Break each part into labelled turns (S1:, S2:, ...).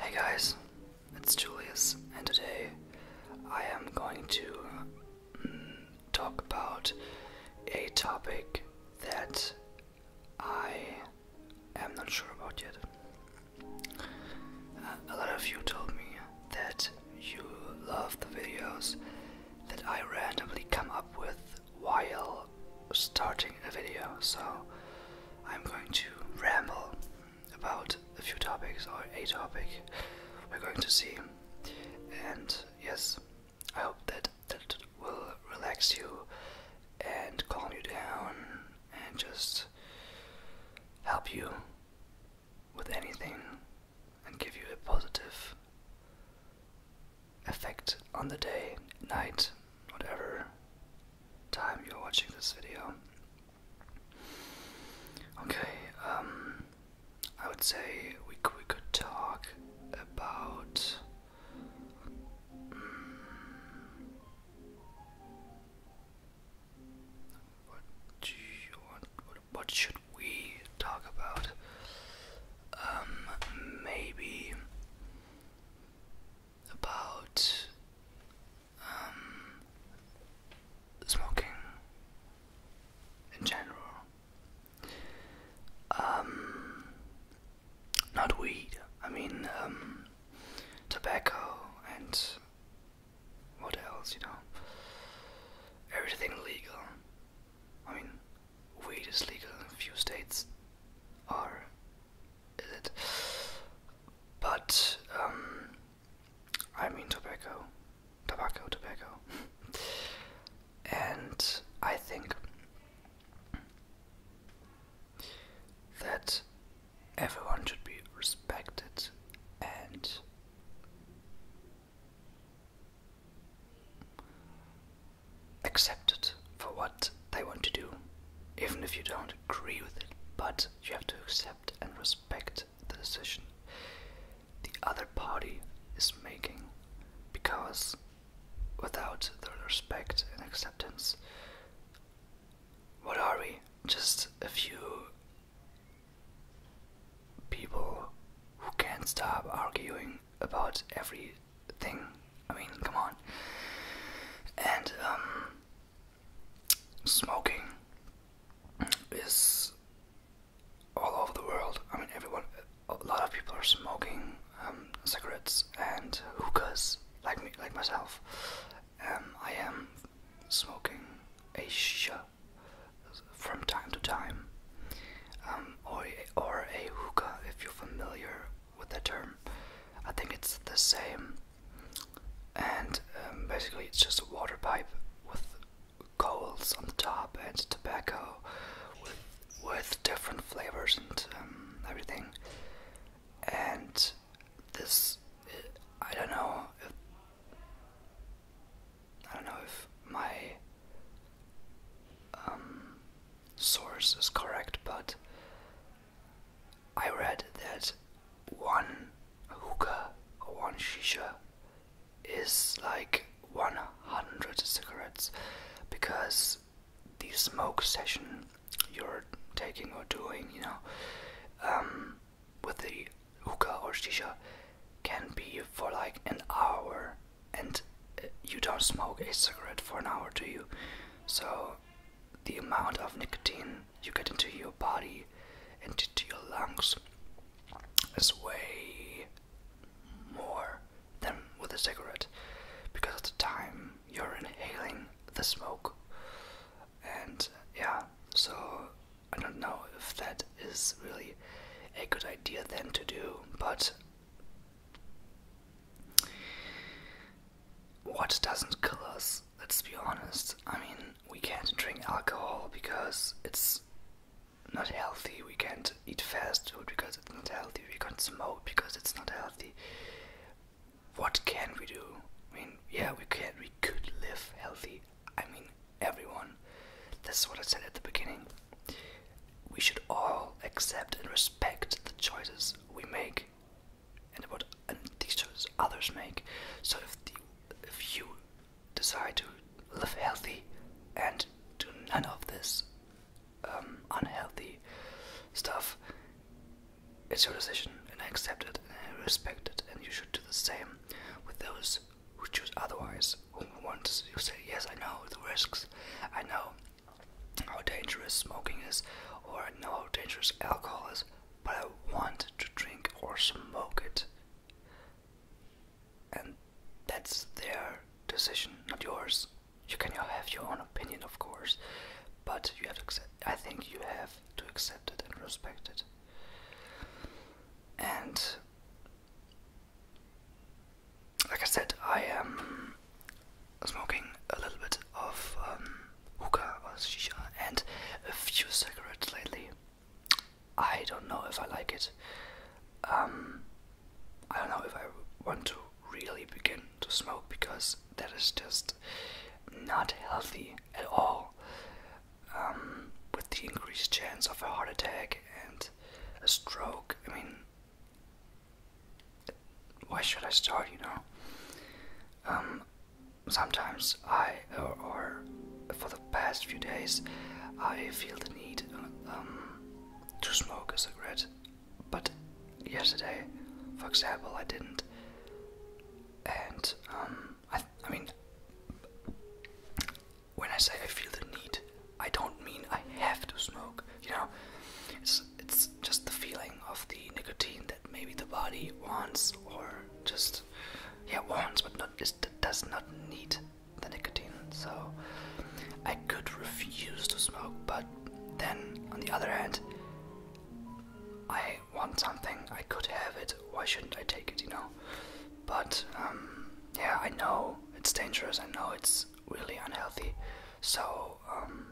S1: Hey guys, it's Julius, and today I am going to mm, talk about a topic that I am not sure about yet. Uh, a lot of you told me that you love the videos that I randomly come up with while starting a video, so I'm going to ramble about a few topics or a topic we're going to see. And yes, I hope that that will relax you and calm you down and just help you with anything and give you a positive effect on the day, night, whatever time you're watching this video. Okay, um, I would say we we could talk about. Mm, what should we talk about? Um, maybe about um, smoking in general. Um, not weed, I mean um, tobacco and what else, you know? Everything legal. I mean, weed is legal in a few states, or is it? But um, I mean tobacco, tobacco, tobacco, and I think that everyone should be respected and accepted for what they want to do, even if you don't agree with it. But you have to accept and respect the decision the other party is making, because without their respect and acceptance, what are we? Just a few people who can't stop arguing about everything. I mean, come on. And um, smoking is all over the world. I mean, everyone, a lot of people are smoking um, cigarettes and hookahs, like me, like myself. Um, I am smoking a shisha from time to time. Um, or, or a hookah if you're familiar with that term. I think it's the same. And um, basically, it's just a water pipe with coals on the top and tobacco with, with different flavors and um, everything. And this, I don't know I don't know if my um, source is correct, but I read that one hookah or one shisha is like 100 cigarettes because the smoke session you're taking or doing, you know, um, with the hookah or shisha can be for like an hour and uh, you don't smoke a cigarette for an hour, do you? So the amount of nicotine you get into your body and into your lungs is way more than with a cigarette because of the time you're inhaling the smoke. And yeah, so I don't know if that is really a good idea then to do, but what doesn't kill us? Let's be honest. I mean, we can't drink alcohol because it's not healthy. We can't eat fast food because it's not healthy. We can't smoke because it's not healthy. What can we do? I mean, yeah, we can. We could live healthy. I mean, everyone. this is what I said at the beginning. We should all accept and respect the choices we make and what and these others make. So if, if you decide to live healthy and do none of this um, unhealthy stuff, it's your decision and I accept it and I respect it and you should do the same with those who choose otherwise who wants say, yes, I know the risks, I know how dangerous smoking is, or know how dangerous alcohol is, but I want to drink or smoke it. And that's their decision, not yours. You can have your own opinion, of course, but you have to accept. I think you have to accept it and respect it. And like I said, I am smoking a little bit of um, hookah or shisha and a few cigarettes lately. I don't know if I like it. Um, I don't know if I want to really begin to smoke because that is just not healthy at all. Um, with the increased chance of a heart attack and a stroke. I mean, why should I start, you know? Um, sometimes I, or, for the past few days, I feel the need um, to smoke a cigarette, but yesterday, for example, I didn't. And I, I mean, when I say I feel the need, I don't mean I have to smoke. You know, it's it's just the feeling of the nicotine that maybe the body wants, or just yeah wants, but not just does not need the nicotine. So I could refuse to smoke, but then on the other hand, I want something. I could have it. Why shouldn't I take it? You know. But um, yeah, I know it's dangerous. I know it's really unhealthy. So um,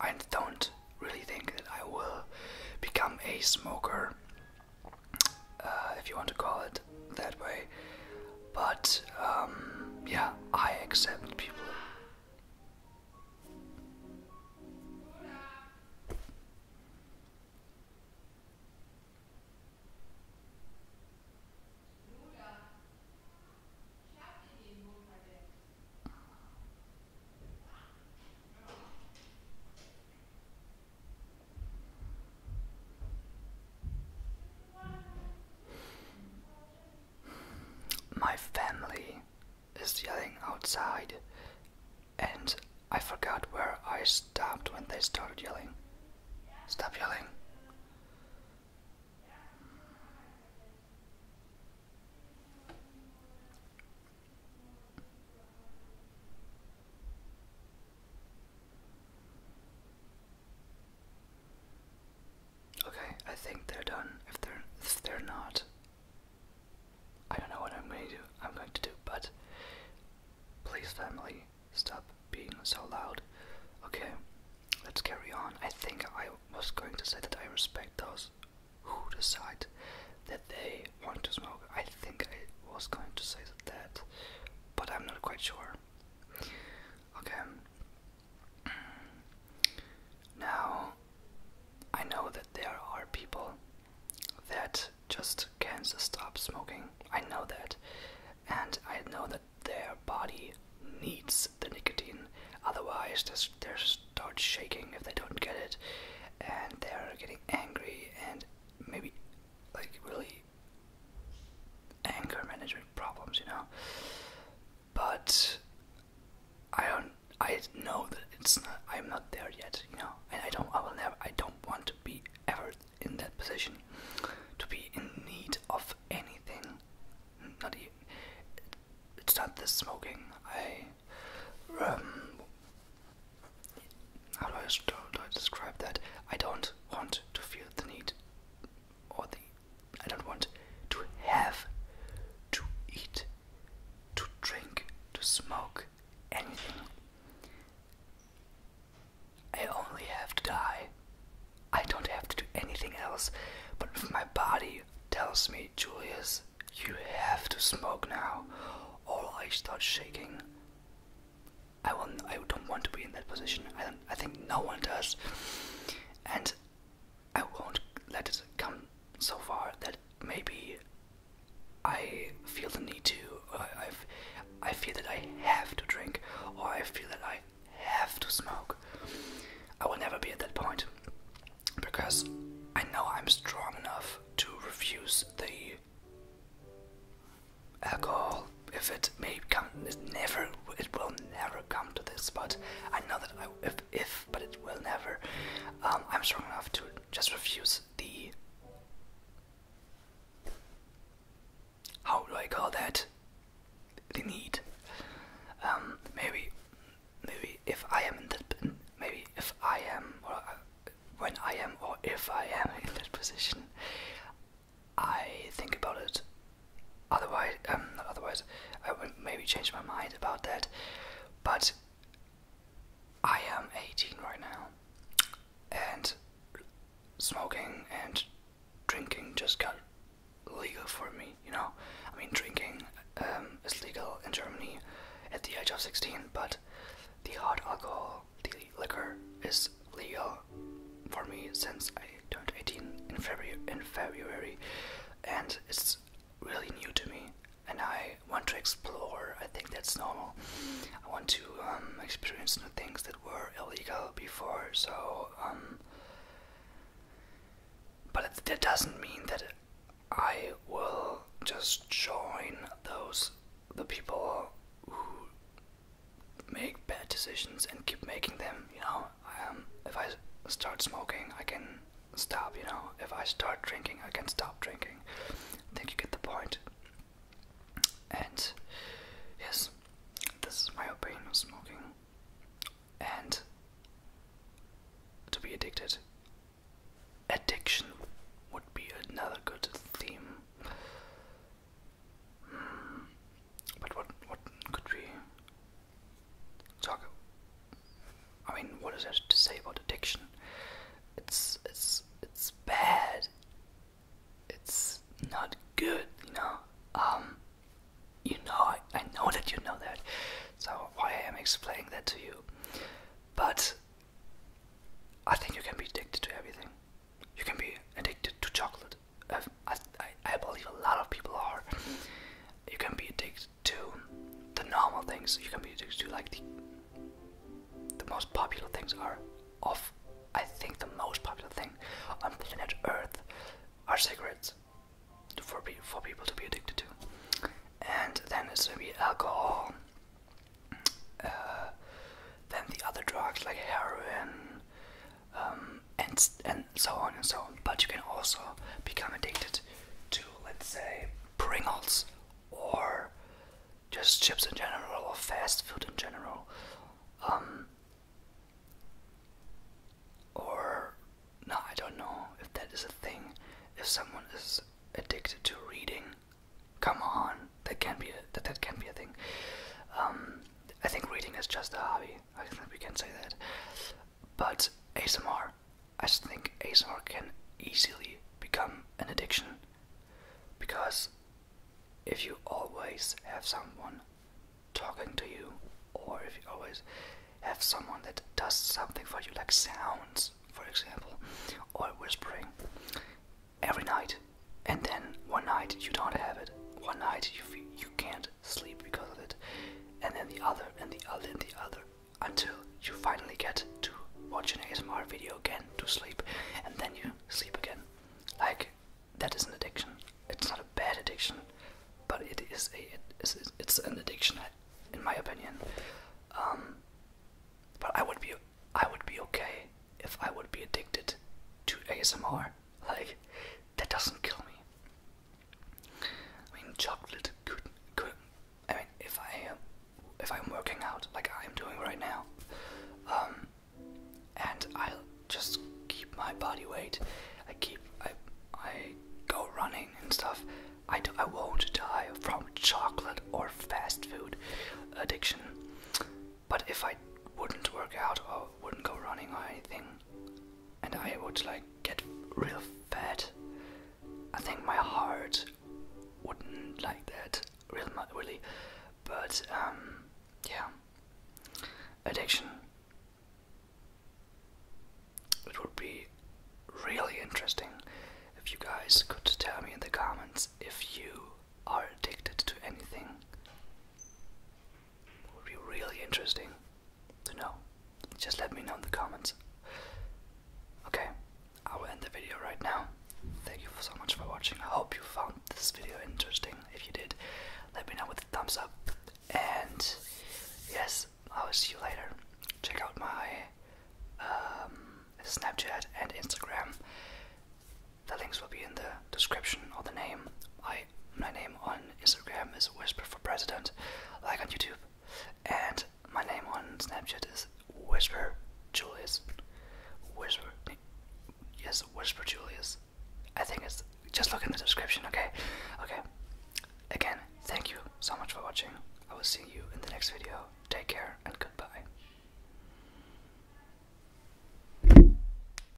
S1: I don't really think that I will become a smoker, uh, if you want to call it that way. But um, yeah, I accept people. My family is yelling outside and I forgot where I stopped when they started yelling. Stop yelling. Okay, I think they're done if they're if they're not. I don't know what I'm going to do. I'm going to do, but please, family, stop being so loud. Okay, let's carry on. I think I was going to say that I respect those who decide that they want to smoke. I think I was going to say that, but I'm not quite sure. Okay. Now, I know that there are people that just can't stop smoking. I know that. And I know that their body needs the nicotine. Otherwise, they start shaking if they don't get it. And they're getting angry and maybe like really anger management problems, you know. But I don't I know that it's not. I'm not there yet, you know, and I don't. I will never. I don't want to be ever in that position, to be in need of anything. Not even. It's not the smoking. I, um, how do I describe that? I don't want to feel the need, or the. I don't want to have, to eat, to drink, to smoke anything. I only have to die. I don't have to do anything else, but if my body tells me, Julius, you have to smoke now, or I start shaking. I will. I don't want to be in that position. I I think no one does, and I won't let it come so far that maybe I feel the need to, i I feel that I have to drink, or I feel that I have to smoke. I will never be at that point because I know I'm strong enough to refuse the alcohol. If it may come, it never, it will never come to this. But I know that if, if, but it will never. Um, I'm strong enough to just refuse the. How do I call that? The need. Um, maybe, maybe if I am in that, maybe if I am, or uh, when I am, or if I am in that position, I think about it. Otherwise, um, otherwise, I would maybe change my mind about that. But I am 18 right now, and smoking and drinking just got legal for me, you know? I mean, drinking um, is legal in Germany at the age of 16, but the hard alcohol, the liquor, is legal for me since I turned 18 in February and it's really new to me and I want to explore. I think that's normal. I want to um, experience new things that were illegal before. So, um, but that doesn't mean that I will just join those the people who make bad decisions and keep making them. You know, um, if I start smoking, I can stop, you know. If I start drinking, I can stop drinking. I think you get the point. And yes, this is my opinion of smoking. And to be addicted. Addiction would be another good theme. Hmm. But what what could we talk. I mean, what does it say about addiction? It's it's it's bad. It's not good, you know. Um, you know, I, I know that you know that. So why I am explaining that to you, but I think you can be addicted to everything. You can be addicted to chocolate. Uh, I, I believe a lot of people are. You can be addicted do the normal things you can be do like the most popular things are of I think the most popular thing on planet Earth are cigarettes for for people to be addicted to, and then it's gonna be alcohol. Uh, then the other drugs like heroin um, and and so on and so on. But you can also become addicted to, let's say, Pringles or just chips in general or fast food in general. Um, or, no, I don't know if that is a thing. If someone is addicted to reading, come on, that can be that that can be a thing. Um, I think reading is just a hobby. I think we can say that. But ASMR, I think ASMR can easily become an addiction because if you always have someone talking to you, or if you always have someone that does something for you, like sounds, for example, or whispering every night, and then one night you don't have it, one night you, you can't sleep because of it, and then the other, and the other, and the other, until you finally get to watch an ASMR video again to sleep, and then you sleep again. Like, that is an addiction. It's not a bad addiction, but it is a it is, it's an addiction, in my opinion. Um, but I would be I would be okay if I would be addicted to ASMR. Like, that doesn't kill me. I mean, chocolate could could. I mean, if I am if I'm working out like I'm doing right now, um, and I'll just keep my body weight. I keep I I go running and stuff. I do, I won't die from chocolate or fast food addiction. But if I wouldn't work out or wouldn't go running or anything, and I would like get real fat, I think my heart wouldn't like that real much, really. But um, yeah, addiction. It would be really interesting if you guys could tell me in the comments if you are addicted to anything. Would be really interesting to know. Just let me know in the comments. Okay, I will end the video right now. Thank you so much for watching. I hope you found this video interesting. If you did, let me know with a thumbs up. And yes, I will see you later. Check out my um, Snapchat and Instagram. The links will be in the description or the name. I my name on Instagram is Whisper for President, like on YouTube, and my name on Snapchat is Whisper Julius. Whisper, yes, Whisper Julius. I think it's just look in the description, okay? Okay. Again, thank you so much for watching. I will see you in the next video. Take care and goodbye.